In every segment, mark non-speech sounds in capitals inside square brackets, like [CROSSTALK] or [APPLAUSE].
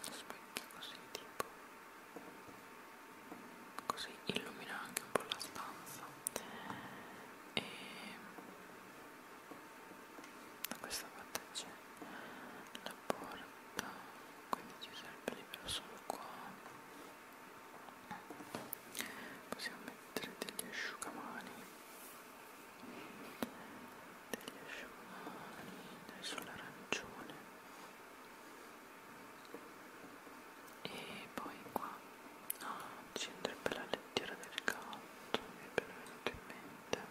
Uno specchio così tipo così illumina anche un po' la stanza e da questa parte c'è la porta quindi ci sarebbe libero solo qua possiamo mettere degli asciugamani degli asciugamani adesso l'arancione e poi qua ah, ci andrebbe la lettiera del gatto mi è venuto in mente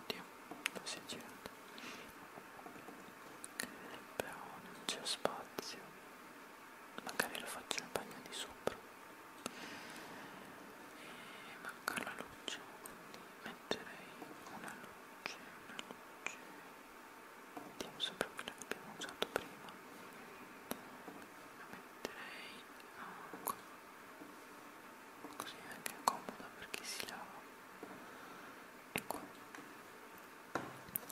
oddio non si è girato però non c'è spazio magari lo faccio in bagno di sopra e manca la luce quindi metterei una luce una luce mettiamo sempre quella che abbiamo usato prima la metterei ah, qua così è anche comoda perché si lava e qua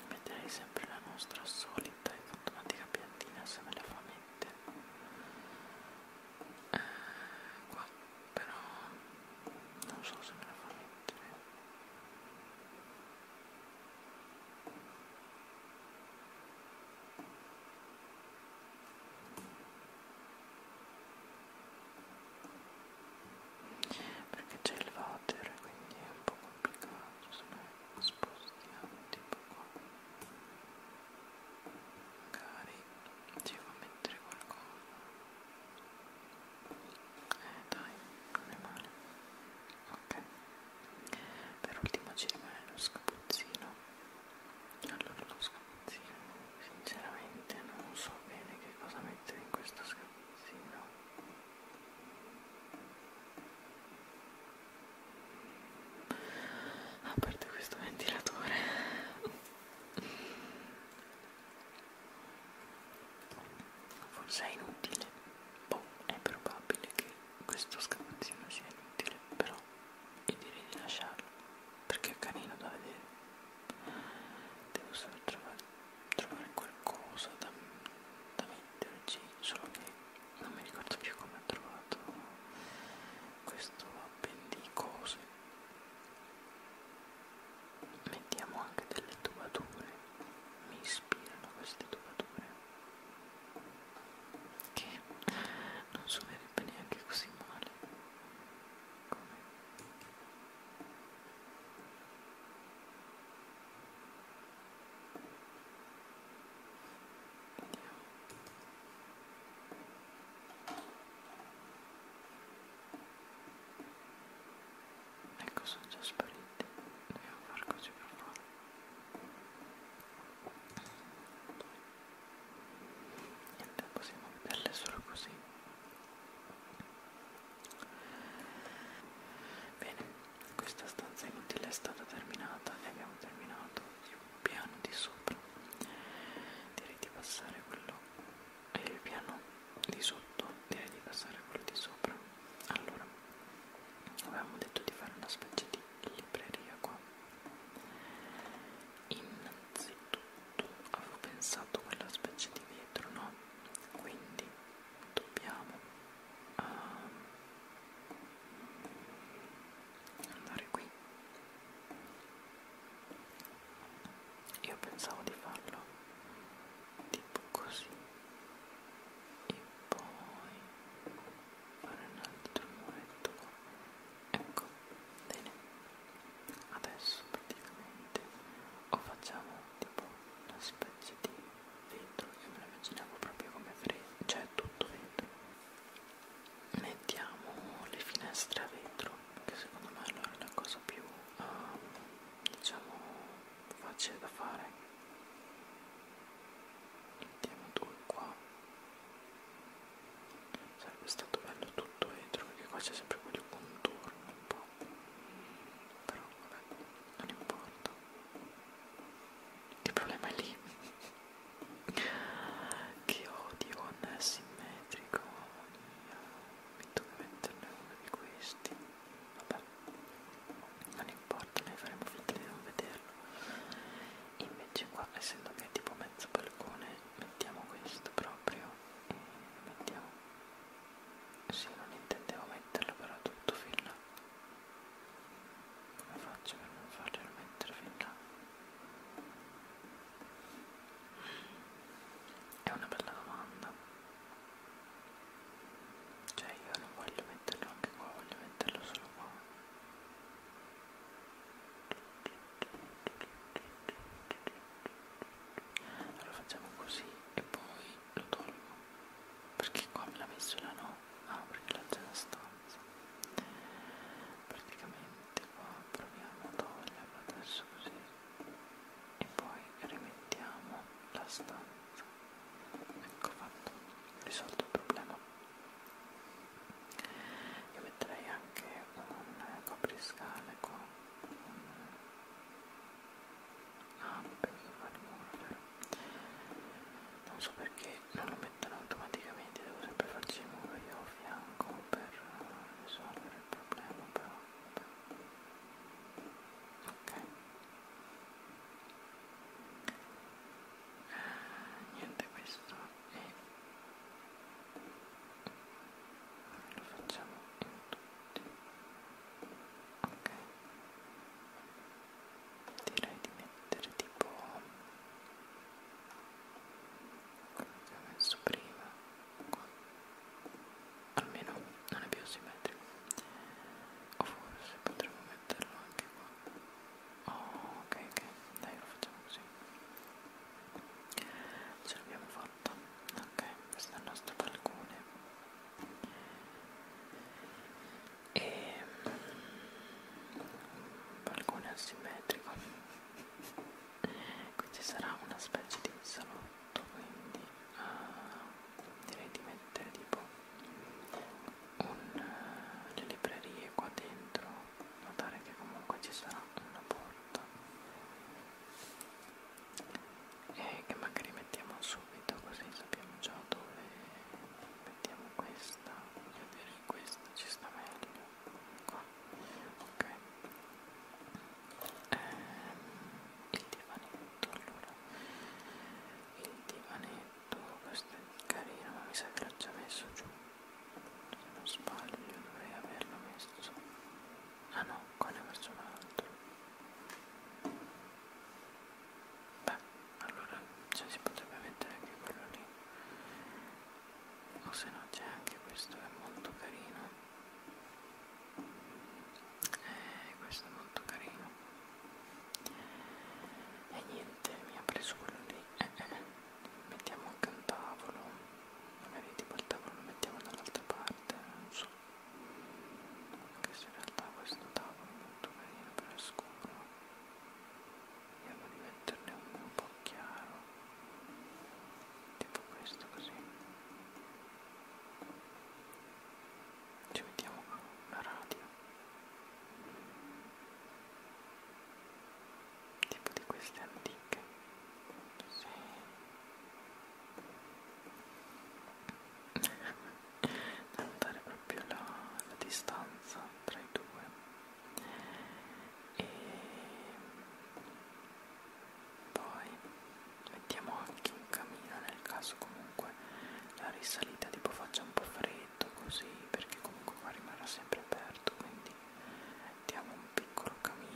Metterei sempre la nostra solita e fantomatica piantina assieme alla famette. Eh, qua però non so se me la fa mettere. Perché c'è il water, quindi è un po' complicato, se no spostiamo tipo qua magari devo mettere qualcosa eh dai non è male ok per ultimo ci rimane lo scapuzzino allora lo scapuzzino sinceramente non so bene che cosa mettere in questo scapuzzino a parte questo ventilatore forse è inutile boh, è probabile che questo scavazzino sia inutile però io direi di lasciarlo perché è carino da vedere devo solo trovare, trovare qualcosa da, da metterci solo che non mi ricordo più come ho trovato questo appendicose mettiamo anche delle tubature mi ispirano queste tubature che non suonerebbe neanche così male come Vediamo. Ecco, sono già spariti. Dobbiamo far così per forza. Niente, possiamo vederle solo così. Bene, questa stanza inutile è stata terminata e abbiamo terminato il piano di sopra. Direi di passare quello e eh, il piano di sotto, direi di passare quello di sopra. Allora, avevamo detto di fare una specie di libreria qua. Innanzitutto avevo pensato quella specie di vetro, no? Quindi dobbiamo a andare qui io pensavo di farlo tipo così e poi fare un altro muretto ecco bene adesso praticamente o facciamo tipo una specie di dentro io me lo immaginavo proprio come freddo cioè tutto dentro mettiamo le finestre a vetro che secondo me allora è la cosa più um, diciamo facile da fare mettiamo due qua sarebbe stato bello tutto vetro perché qua c'è sempre quel contorno un po' però vabbè, non importa. Il problema è lì che odio non è simmetrico mi devo metterne uno di questi vabbè non importa noi faremo finta di non vederlo invece qua essendo che è tipo mezzo balcone mettiamo questo proprio e mettiamo sì non intendevo metterlo però tutto fino come faccio per non farglielo mettere fin là? È una bella domanda. Cioè io non voglio metterlo anche qua, voglio metterlo solo qua. Allora facciamo così e poi lo tolgo perché qua me l'ha messo la no ah perché l'ha già la stanza praticamente qua proviamo a toglierlo adesso così e poi rimettiamo la stanza ecco fatto risolto il problema io metterei anche un copriscale qua un ah non penso fare nulla però non so perché non lo mettono automaticamente devo sempre farci il muro io a fianco per risolvere il problema però ok eh, niente questo e lo facciamo in tutti ok direi di mettere tipo quello che ho messo prima qua almeno non è più simmetrico o forse potremmo metterlo anche qua oh, ok ok dai lo facciamo così ce l'abbiamo fatta ok questo è il nostro balcone e un mm, balcone asimmetrico qui ci sarà una specie di salotto quindi uh, direi di mettere tipo un, uh, le librerie qua dentro notare che comunque ci sarà una porta e eh, che magari mettiamo subito così sappiamo già dove mettiamo questa voglio dire questa ci sta meglio qua ok ehm, il divanetto allora il divanetto questo è carino ma mi sa che l'ho già messo giù se non sbaglio dovrei averlo messo ah no, qua ne ho messo un altro Beh, allora cioè, si potrebbe mettere anche quello lì. O se no c'è anche questo che è molto carino. Eh, questo è molto carino. E niente, mi ha preso quello lì. Eh, eh, eh. Mettiamo anche un tavolo. Magari tipo il tavolo lo mettiamo dall'altra parte, non so anche se in realtà questo tavolo è molto carino però è scuro vediamo di metterne uno un po' chiaro tipo questo così ci mettiamo una radio tipo di queste antiche sì da notare proprio la, la distanza tra i due e poi mettiamo anche in cammino nel caso comunque la risalita tipo faccia un po' freddo così perché comunque qua rimarrà sempre aperto quindi mettiamo un piccolo camino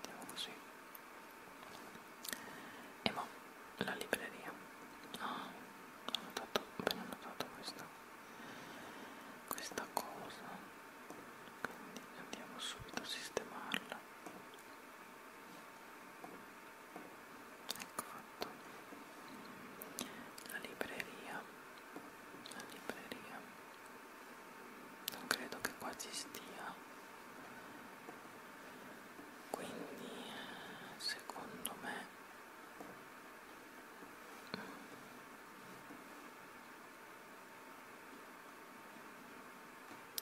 vediamo così e mo la libreria ah, ho notato, ho appena notato questa questa cosa quindi andiamo subito a sistemarla eccola fatto la libreria la libreria non credo che qua ci stia quindi secondo me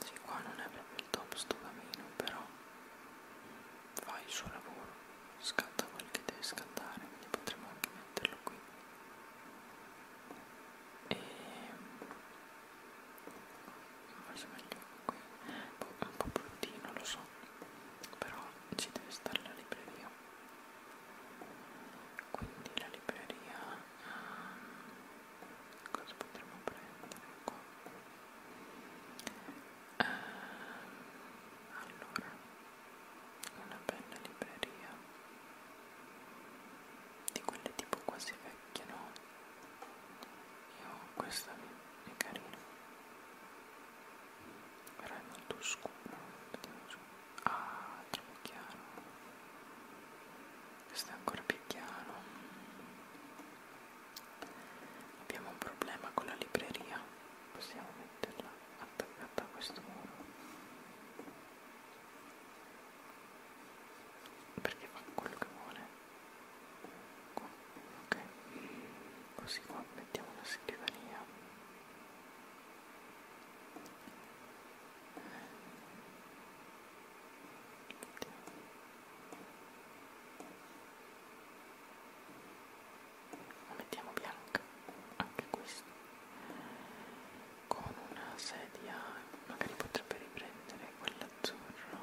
sì qua non è proprio il top sto camino però fa il suo lavoro, scatta quel che deve scattare, quindi potremmo anche metterlo qui. E forse meglio qui, boh, è un po' bruttino lo so, però ci deve stare la libreria. Quindi la libreria um, cosa potremmo prendere qua? eh, allora una bella libreria di quelle tipo quasi vecchie no io questa è carina però è molto scuro ah troppo chiaro questo è ancora più chiaro abbiamo un problema con la libreria possiamo metterla attaccata a questo muro perché fa quello che vuole qua, ok così qua mettiamo la scrivania mettiamo la mettiamo bianca anche questo con una sedia magari potrebbe riprendere quell'azzurro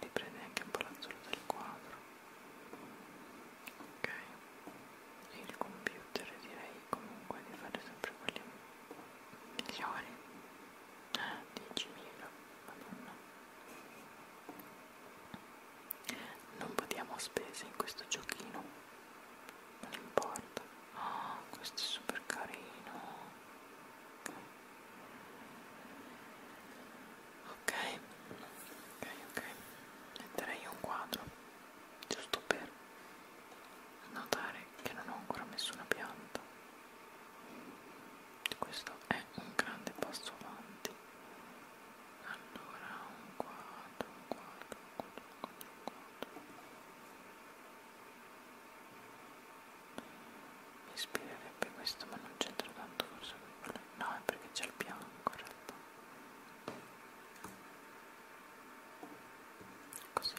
riprende anche un po' l'azzurro del quadro ok e il computer direi comunque di fare sempre quelli migliori 10.000 madonna non vediamo spese in questo giochino non importa oh, questo è super carino ok ok ok metterei un quadro giusto per notare che non ho ancora messo una pianta questo è un grande passo avanti allora un quadro un quadro un quadro un quadro, un quadro. mi ispirerebbe questo ma non c'entra tanto forse no è perché c'è il bianco in realtà così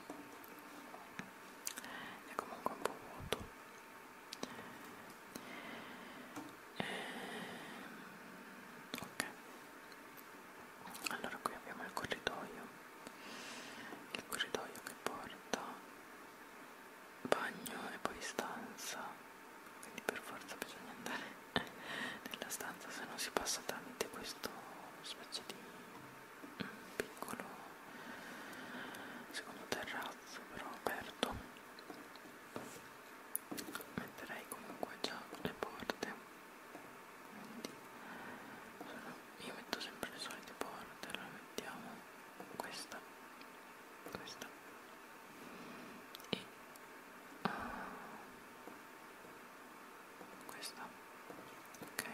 è comunque un po' vuoto ehm, ok allora qui abbiamo il corridoio il corridoio che porta bagno e poi stanza quindi per forza bisogna andare [LAUGHS] nella stanza se no si passa tramite questo specie di un piccolo secondo terrazzo però aperto metterei comunque già le porte quindi sono, io metto sempre le solite porte allora mettiamo questa questa e uh, questa ok